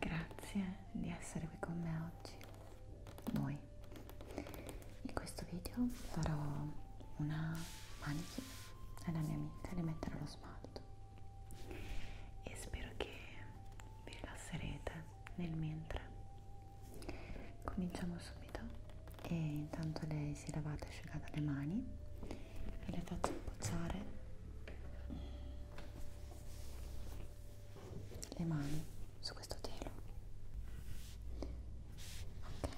Grazie di essere qui con me oggi, voi. In questo video farò una manichina alla mia amica di mettere lo smalto e spero che vi rilasserete nel mentre cominciamo subito e intanto lei si è lavata e asciugata le mani e le faccio appoggiare le mani su questo telo ok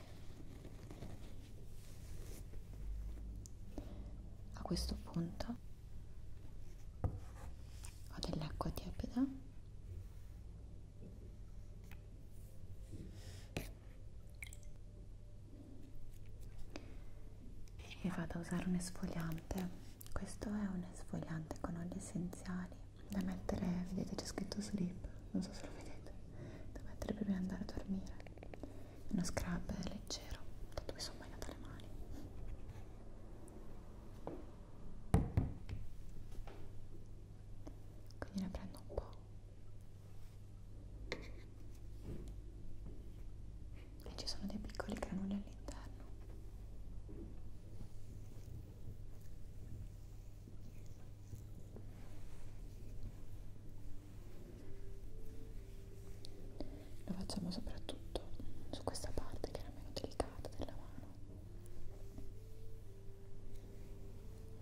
a questo punto ho dell'acqua tiepida e vado a usare un esfoliante questo è un esfoliante con oli essenziali da mettere vedete c'è scritto sleep non so se lo vedete da mettere prima di andare a dormire è uno scrub leggero tanto mi sono bagnata le mani quindi ne prendo un po' e ci sono dei piccoli granuli all'interno lo facciamo soprattutto su questa parte che è la meno delicata della mano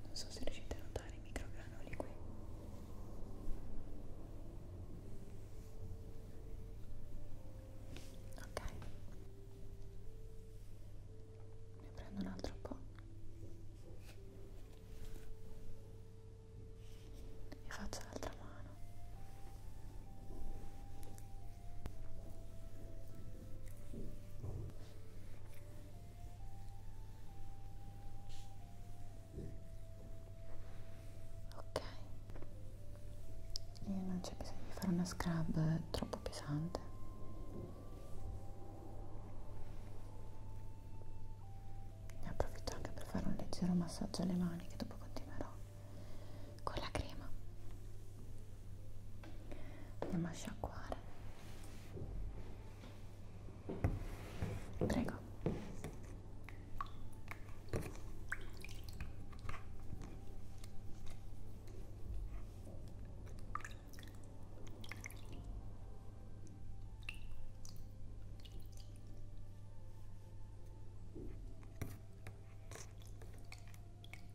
non so se riuscite a notare i microgranoli qui ok ne prendo un altro po' e faccio l'altra mano Ok, e non c'è bisogno di fare una scrub troppo pesante. Ne approfitto anche per fare un leggero massaggio alle mani che dopo continuerò con la crema andiamo a sciacquare prego ho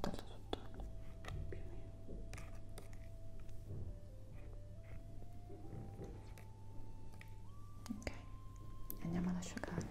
tolto tutto più ok andiamo ad asciugare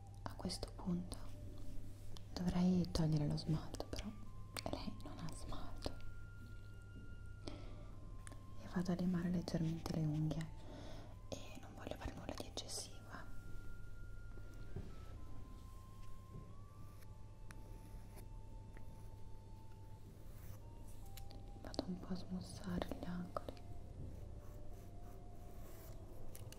a questo punto dovrei togliere lo smalto però lei non ha smalto e vado a limare leggermente le unghie e non voglio fare nulla di eccessivo vado un po' a smussare gli angoli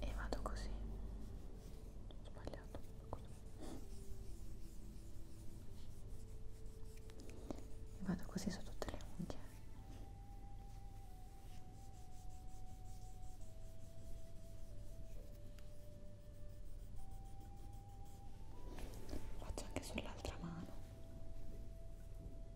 e vado così sbagliato così. e vado così su tutte le unghie faccio anche sull'altra mano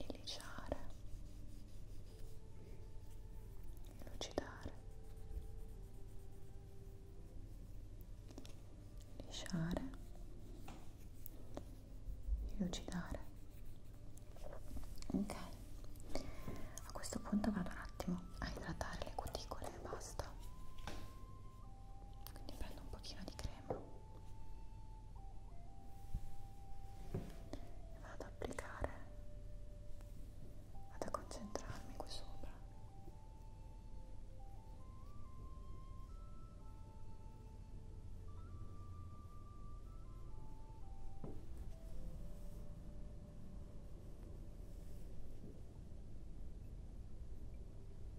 e lisciare e lucidare lisciare e lucidare ok a questo punto vado un attimo a idratare le cuticole e basta quindi prendo un pochino di crema e vado ad applicare vado a concentrarmi qui sopra e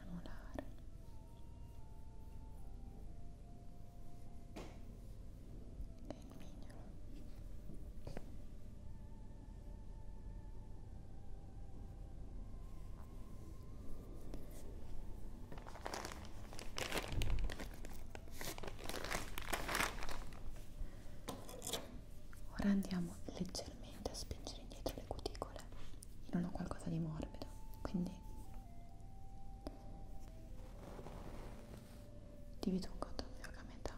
anulare e il mignolo Ora andiamo leggermente a spingere indietro le cuticole non ho qualcosa di morbido quindi divido un cotton fioc a metà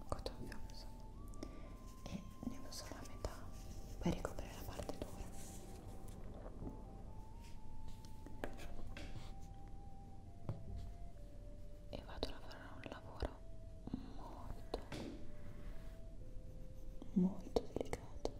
un cotton fioc insomma e ne uso la metà per ricoprire la parte dura e vado a fare un lavoro molto molto delicato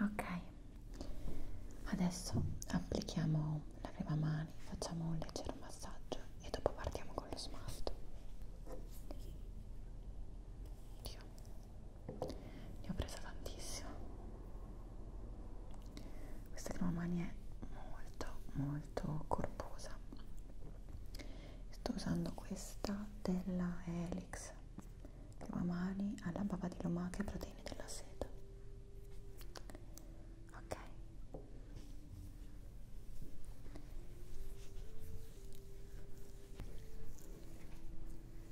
Ok, adesso applichiamo la crema mani, facciamo un leggero massaggio e dopo partiamo con lo smalto. Dio ne ho presa tantissimo questa crema mani è molto molto corposa sto usando questa della Helix crema mani alla bava di lumache e proteine della seta ok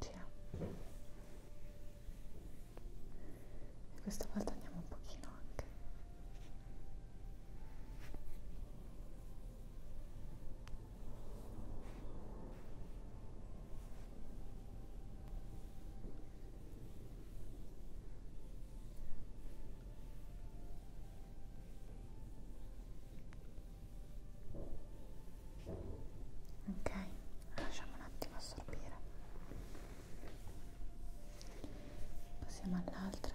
Gira. E questa volta andiamo un pochino anche. Ok, lasciamo un attimo assorbire. Passiamo all'altra.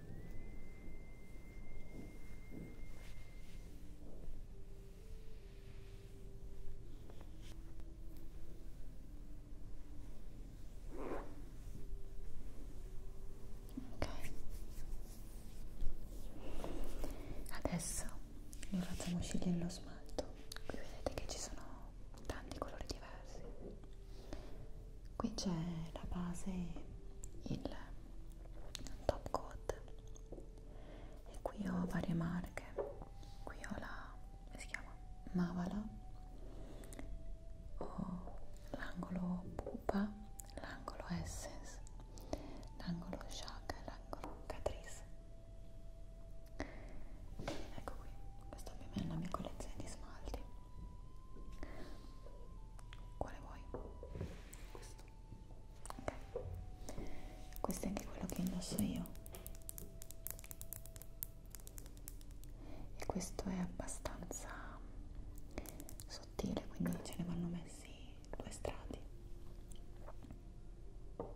Ok, adesso lo facciamo scegliere lo smalto. Qui vedete che ci sono tanti colori diversi qui c'è la base il top coat e qui ho varie marche qui ho la come si chiama mavala ho l'angolo pupa l'angolo essence l'angolo shaka e l'angolo catrice ecco qui questa ovviamente è la mia collezione di smalti quale vuoi? questo ok questo è anche quello che indosso io e questo è abbastanza sottile quindi ce ne vanno messi due strati devo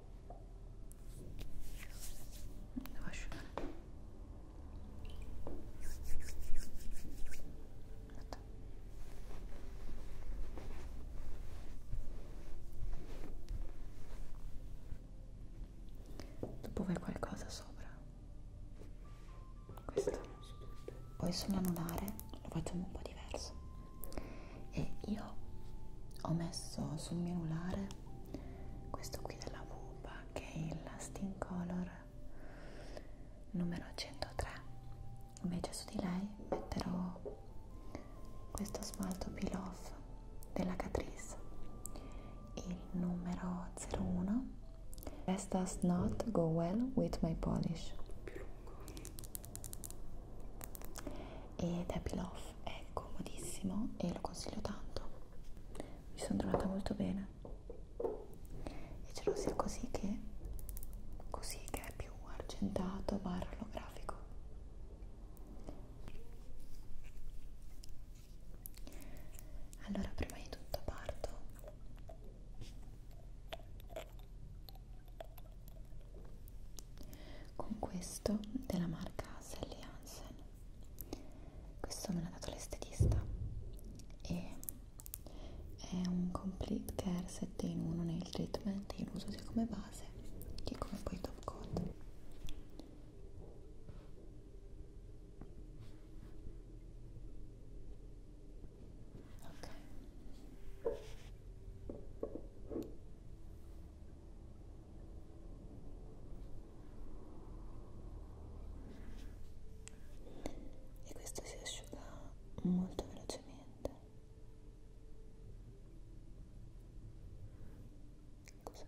asciugare dopo vai qualcosa sopra questo poi sull'anulare lo facciamo un po' diverso e io ho messo sul mio anulare questo qui della Vupa che è il Sting Color numero 103 invece su di lei metterò questo smalto peel off della Catrice il numero 01 This does not go well with my polish ed è peel off, è comodissimo e lo consiglio tanto mi sono trovata molto bene e ce lo sia così che così che è più argentato barra olografico allora prima di tutto parto con questo della marca Sally Hansen questo me l'ha dato l'estetista e è un complete care 7 in 1 nel treatment in uso sia come base che come poi top coat ok e questo si asciuga molto velocemente così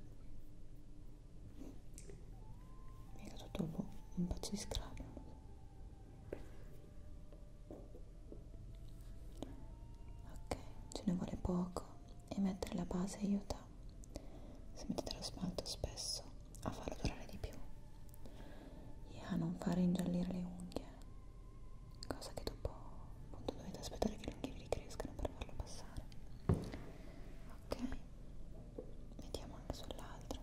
mi è caduto boh, un pezzo di scrapio ok ce ne vuole poco e mettere la base aiuta se mettete l'asfalto spesso a farlo durare di più e a non fare ingiallire le unghie cosa che dopo appunto dovete aspettare che le unghie vi ricrescano per farlo passare ok vediamo anche sull'altro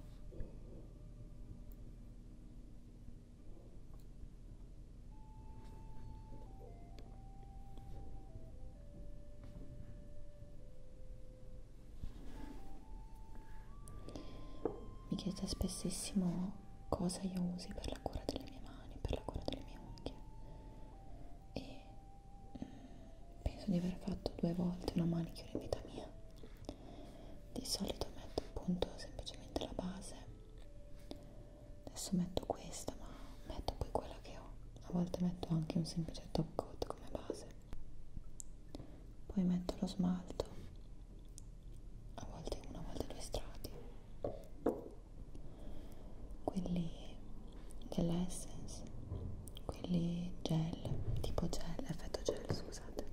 mi chiedete spessissimo cosa io usi per la cura delle mie mani, per la cura delle mie unghie e mm, penso di aver fatto due volte una manicure in vita mia. Di solito metto appunto semplicemente la base, adesso metto questa ma metto poi quella che ho a volte metto anche un semplice top coat come base poi metto lo smalto a volte uno, a volte due strati quelli dell'essence quelli gel tipo gel, effetto gel scusate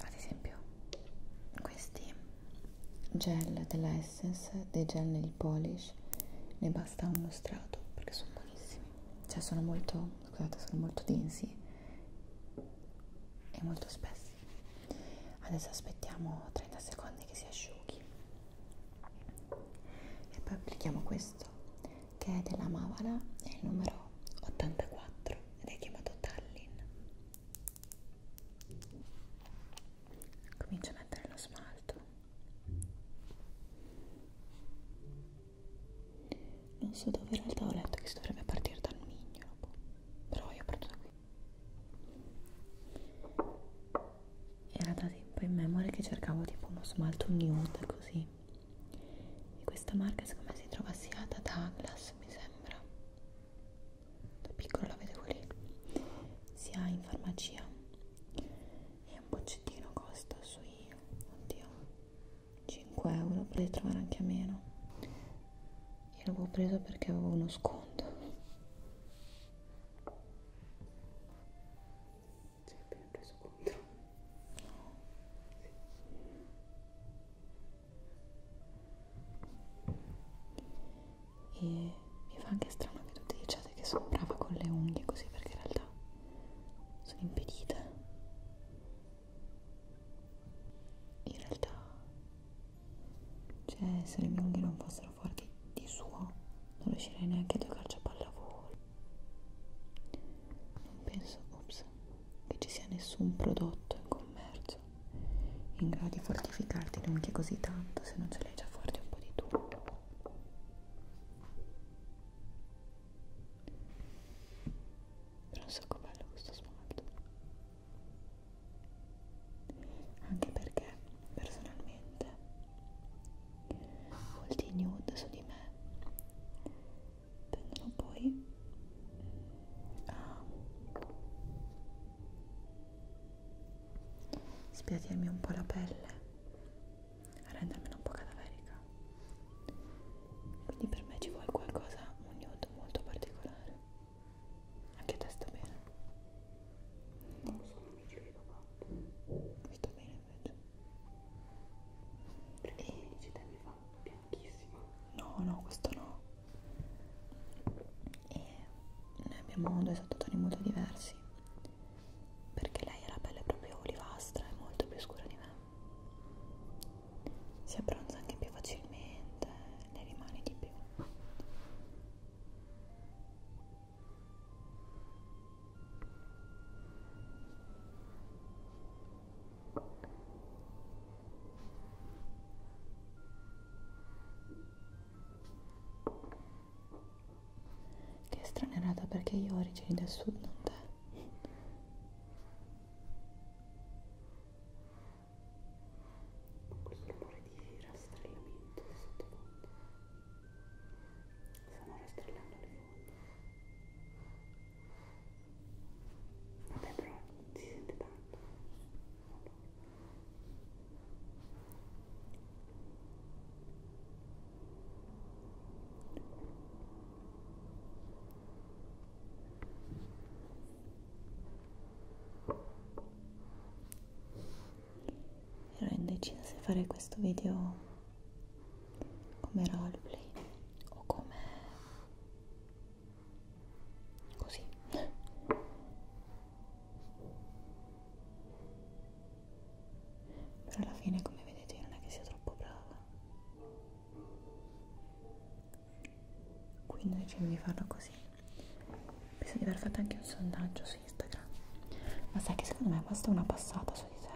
ad esempio questi gel della Essence dei gel nail polish ne basta uno strato perché sono buonissimi cioè sono molto scusate sono molto densi e molto spessi adesso aspettiamo 30 secondi che si asciughi e poi applichiamo questo che è della Mavala è il numero 84 ed è chiamato Tallinn comincio a mettere lo smalto non so dove in realtà ho letto che si dovrebbe partire dal mignolo però io parto da qui era da tempo in memoria che cercavo tipo uno smalto nude così e questa marca secondo me si trova sia da Douglas mi sembra da piccola la vedevo lì sia in farmacia e un boccettino costa sui oddio 5 euro potete trovare anche a meno io l'avevo preso perché avevo uno sconto si è appena preso contro no. sì e mi fa anche strano che tutti diciate che sono brava con le unghie così perché in realtà sono impedita in realtà cioè se le mie unghie non fossero forti di suo non riuscirei neanche a giocarci a pallavolo non penso ops, che ci sia nessun prodotto in commercio prezioso in grado di fortificarti neanche così tanto se non ce l'hai già forte un po' di tutto però un sacco bello questo smalto anche perché personalmente molti nude su di me tendono poi a spiadirmi un po' la pelle, a rendermela un po' cadaverica. Quindi per me ci vuole qualcosa, un nude molto particolare. Anche te sta bene. Non so, non ci vedo fatto. Mi sta bene invece. Perché e... mi fa bianchissimo. No, no, questo no e noi abbiamo due sottotoni molto diversi perché lei ha la pelle proprio olivastra e molto più scura di me si abbronza anche più facilmente ne rimane di più che stranerata perché io ho origini del sud, non te. Questo rumore di rastrellamento sottofondo. Stiamo rastrellando le fonti. Vabbè però si sente tanto. Ero indecisa se fare questo video come roleplay o come così però alla fine come vedete non è che sia troppo brava quindi decido di farlo così penso di aver fatto anche un sondaggio su Instagram ma sai che secondo me basta una passata su di te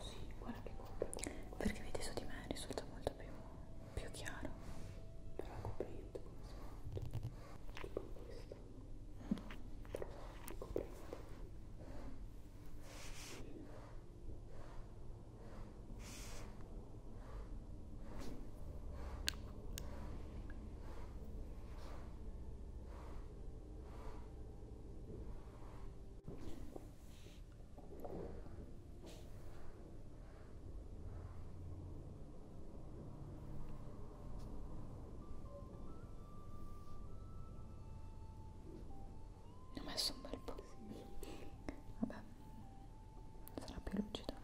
sì, guarda che compra. Perché vedi su di me risulta molto più, più chiaro. Però la copriente come smalto. Tipo questa. Però la copriente ho messo un bel po' vabbè sarà più lucido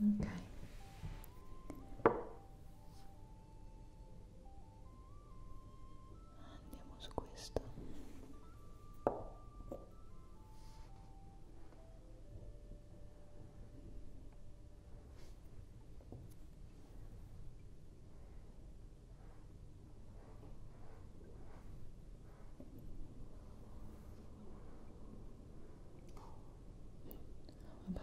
ok andiamo su questo Vabbè,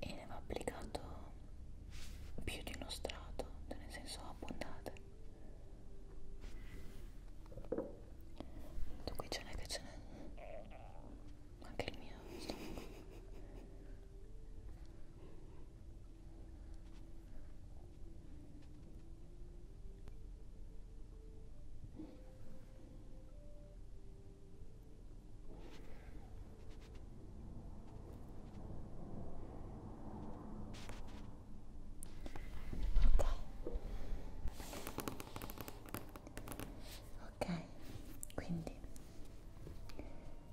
e ne va applicato più di uno strato, nel senso abbondate. Tu qui ce n'è che ce n'è. Anche il mio stomaco. Ok, quindi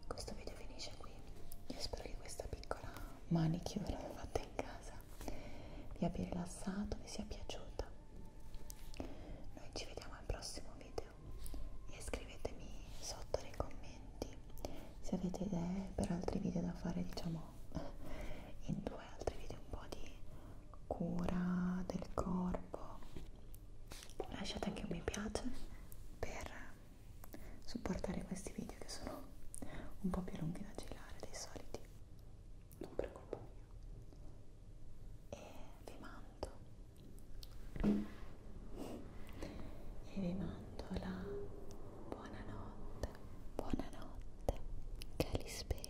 questo video finisce qui. Io spero che questa piccola manicure fatta in casa vi abbia rilassato, vi sia piaciuta noi ci vediamo al prossimo video e scrivetemi sotto nei commenti se avete idee per altri video da fare, diciamo, in due altri video un po' di cura del corpo. Lasciate anche un mi piace per supportare questi video che sono un po' più lunghi da girare dei soliti non per colpa mia e vi mando e vi mando la buonanotte buonanotte che li spera